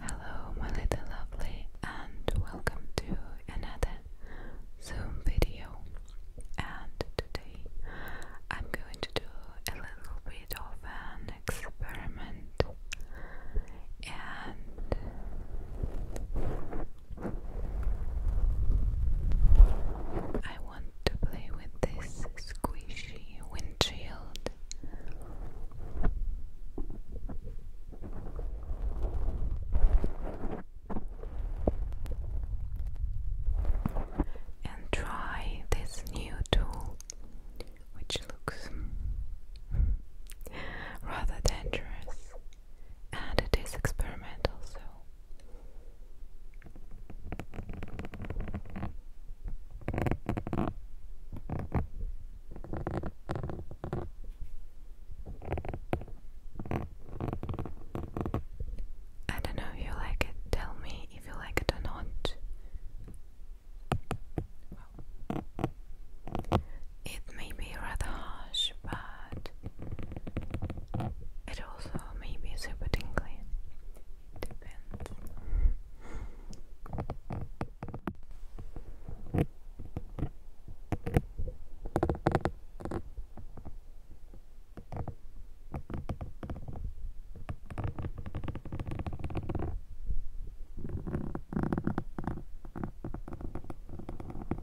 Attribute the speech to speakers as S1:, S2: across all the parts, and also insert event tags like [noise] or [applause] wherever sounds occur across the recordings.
S1: Hello, my little lovely, and welcome to another Zoom video. And today I'm going to do a little bit of an experiment, and I want to play with this squishy windshield. And try this new tool, which looks [laughs] rather dangerous and it is experimental, so I don't know if you like it. Tell me if you like it or not. It may be rather harsh, but it also may be super tingly. Depends.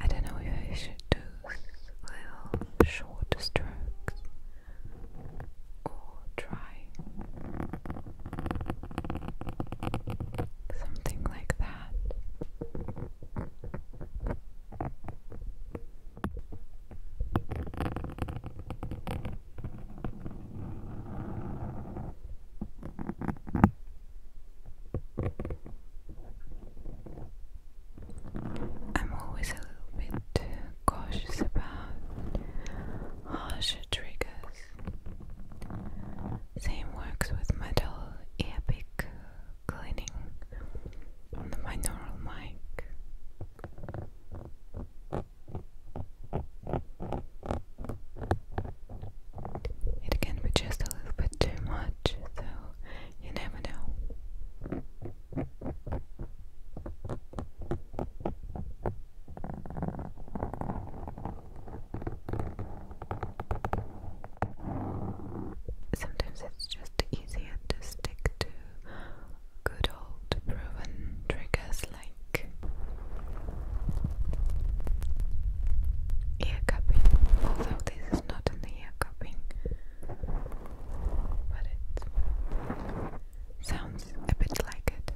S1: I don't know if I should do little short strokes or try something like that. I'm always a little bit uh, cautious about harsher triggers. Same works with metal earpick cleaning on the binaural mic. It can be just a little bit too much, so you never know. Sometimes it's just easier to stick to good old proven triggers like ear cupping, although this is not an ear cupping, but it's Sounds a bit like it.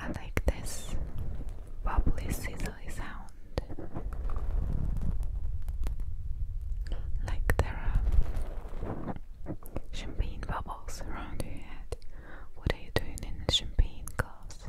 S1: I like this bubbly sizzly sound. Like there are champagne bubbles around your head. What are you doing in a champagne glass?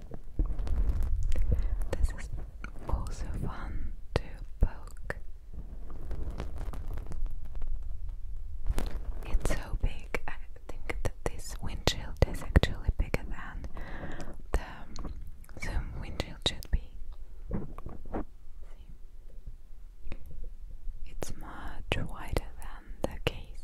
S1: This is also fun to poke. It's so big. I think that this windshield is actually bigger than the Zoom windshield should be. It's much wider than the case.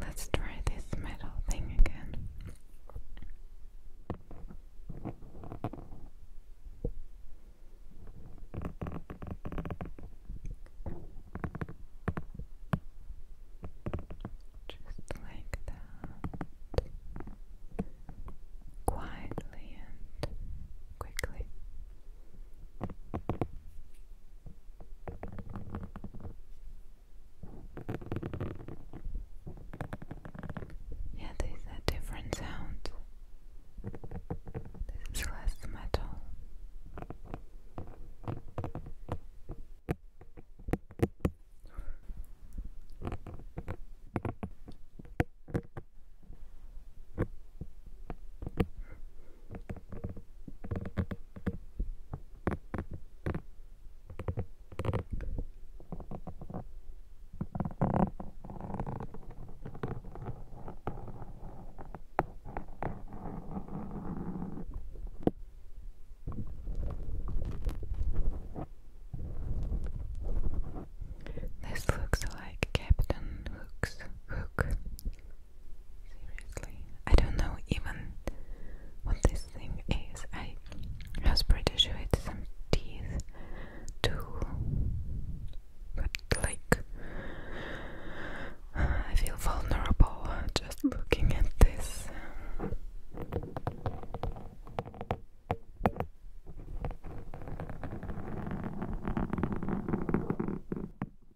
S1: Let's try this metal thing again. Just like that, quietly and quickly. Yeah, these are different sounds. This is less metal. This looks like Captain Hook's hook Seriously, I don't know even what this thing is. I was pretty some teeth too, but like [sighs] I feel vulnerable just looking at this.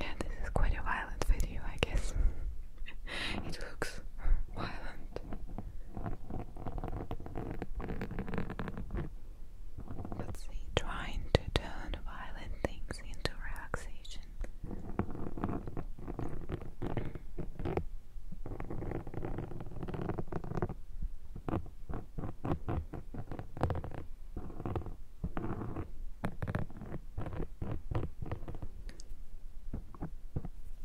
S1: Yeah, this is quite a violent video, I guess. [laughs] it looks violent. Let's see, trying to turn violent things into relaxation.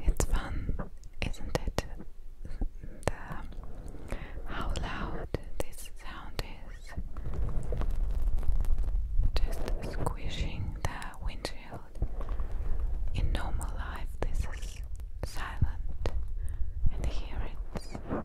S1: It's fun, isn't it? the, how loud this sound is. Just squishing the windshield. In normal life, this is silent, and here it's, it's a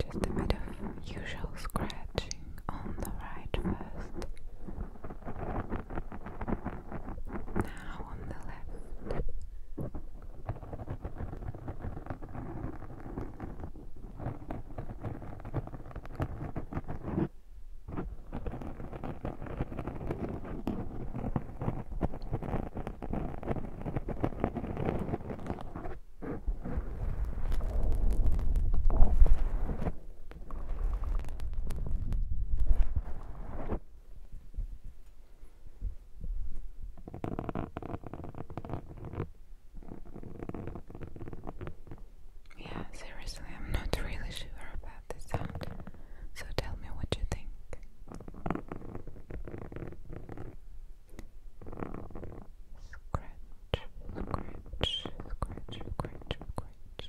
S1: Just a bit of usual scratching on the right first. Now on the left. Now yeah, seriously, I'm not [laughs] really sure about the sound, so tell me what you think. Scratch, scratch, scratch, scratch, scratch.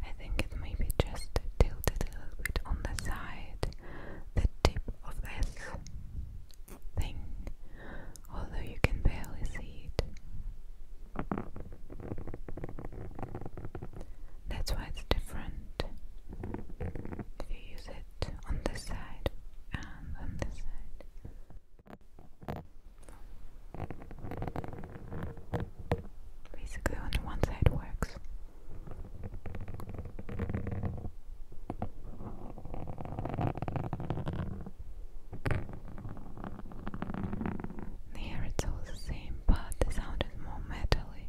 S1: I think it may be just tilted a little bit on the side, the tip of S thing, although you can barely see it. That's why it's different if you use it on this side and on this side. Basically, only one side works. Here it's all the same, but the sound is more metally.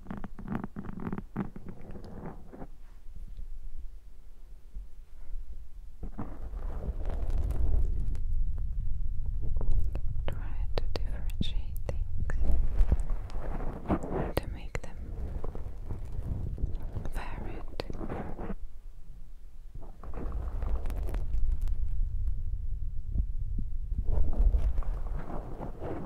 S1: Try to differentiate things to make them varied.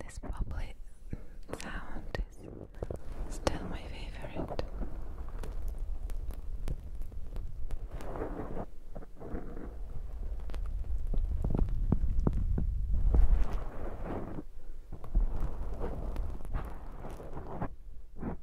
S1: This bubbly sound is still my favorite.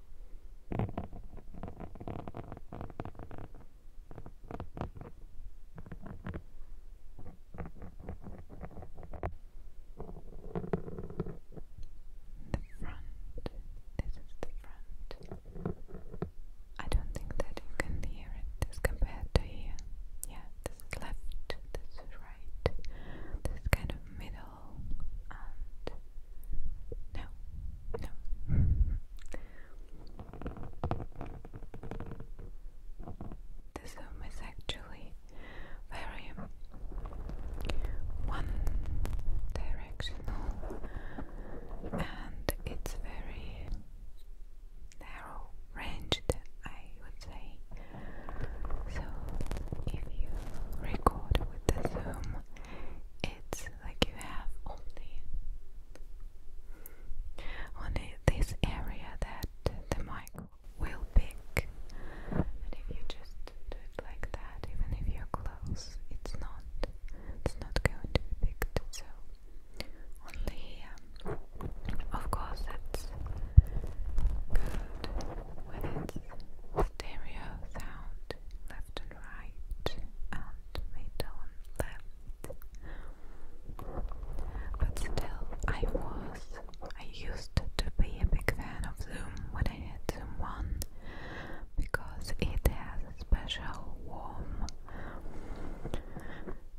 S1: front. This is the front. I don't think that you can hear it as compared to here. Yeah, this is left, this is right, this kind of middle and no, no. the Zoom is actually very one directional and it's very narrow ranged, I would say. So, if you record with the Zoom, it's like you have only only this area that the mic will pick, and if you just do it like that, even if you're close, it's not it's not going to be So only um, of course, that's good when it's stereo sound left and right and middle left. But still I was I used to be a big fan of Zoom when I had Zoom One because it has a special warm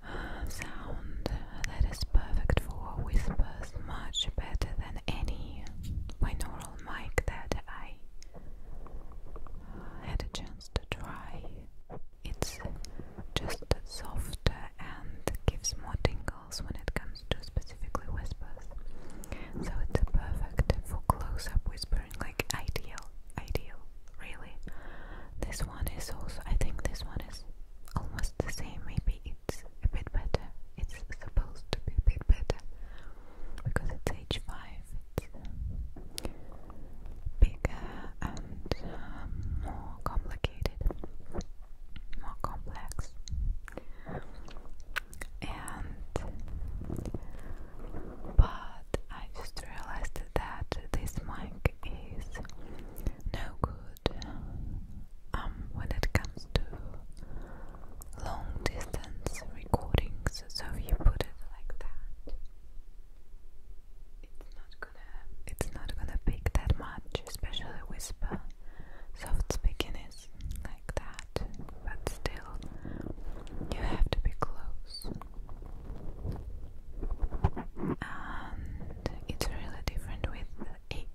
S1: uh, sound that is perfect for whispers much better than any binaural mic that I had a chance to try. It's just softer and gives more tingles when it comes to specifically whispers. So it's perfect for close up whispering, like ideal, ideal, really. This one is also, I think this one is almost the same, maybe it's a bit better it's supposed to be a bit better because it's H5, it's uh, bigger and uh, more complicated, more complex. And but I just realized that this mic is no good um, when it comes to long distance recordings, so you put it like that, it's not gonna it's not gonna pick that much, especially whisper. Soft speaking is like that, but still you have to be close. And it's really different with 8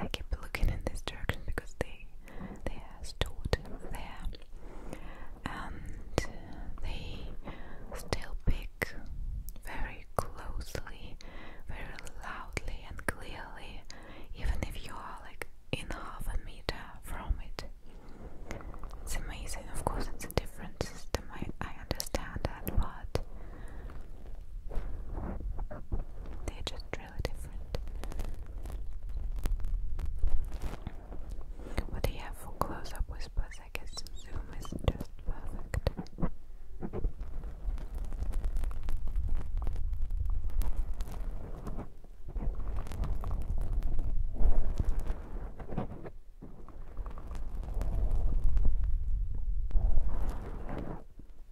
S1: I keep looking in this direction because they they are stored there, and they still pick very closely, very loudly and clearly, even if you are like in half a meter from it. It's amazing. Of course, it's a different system. I I understand that, but. They just what do you have for close up whispers? I guess Zoom is just perfect.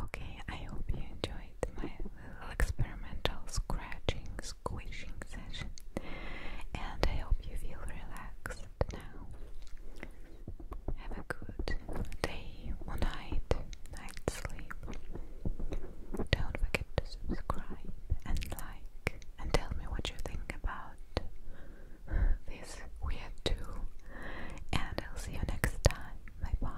S1: Okay, I hope you enjoyed my little experimental scratching, squishing session, and I hope you feel relaxed now. Have a good day night, night sleep. Don't forget to subscribe and like and tell me what you think about this weird tool, and I'll see you next time. Bye bye.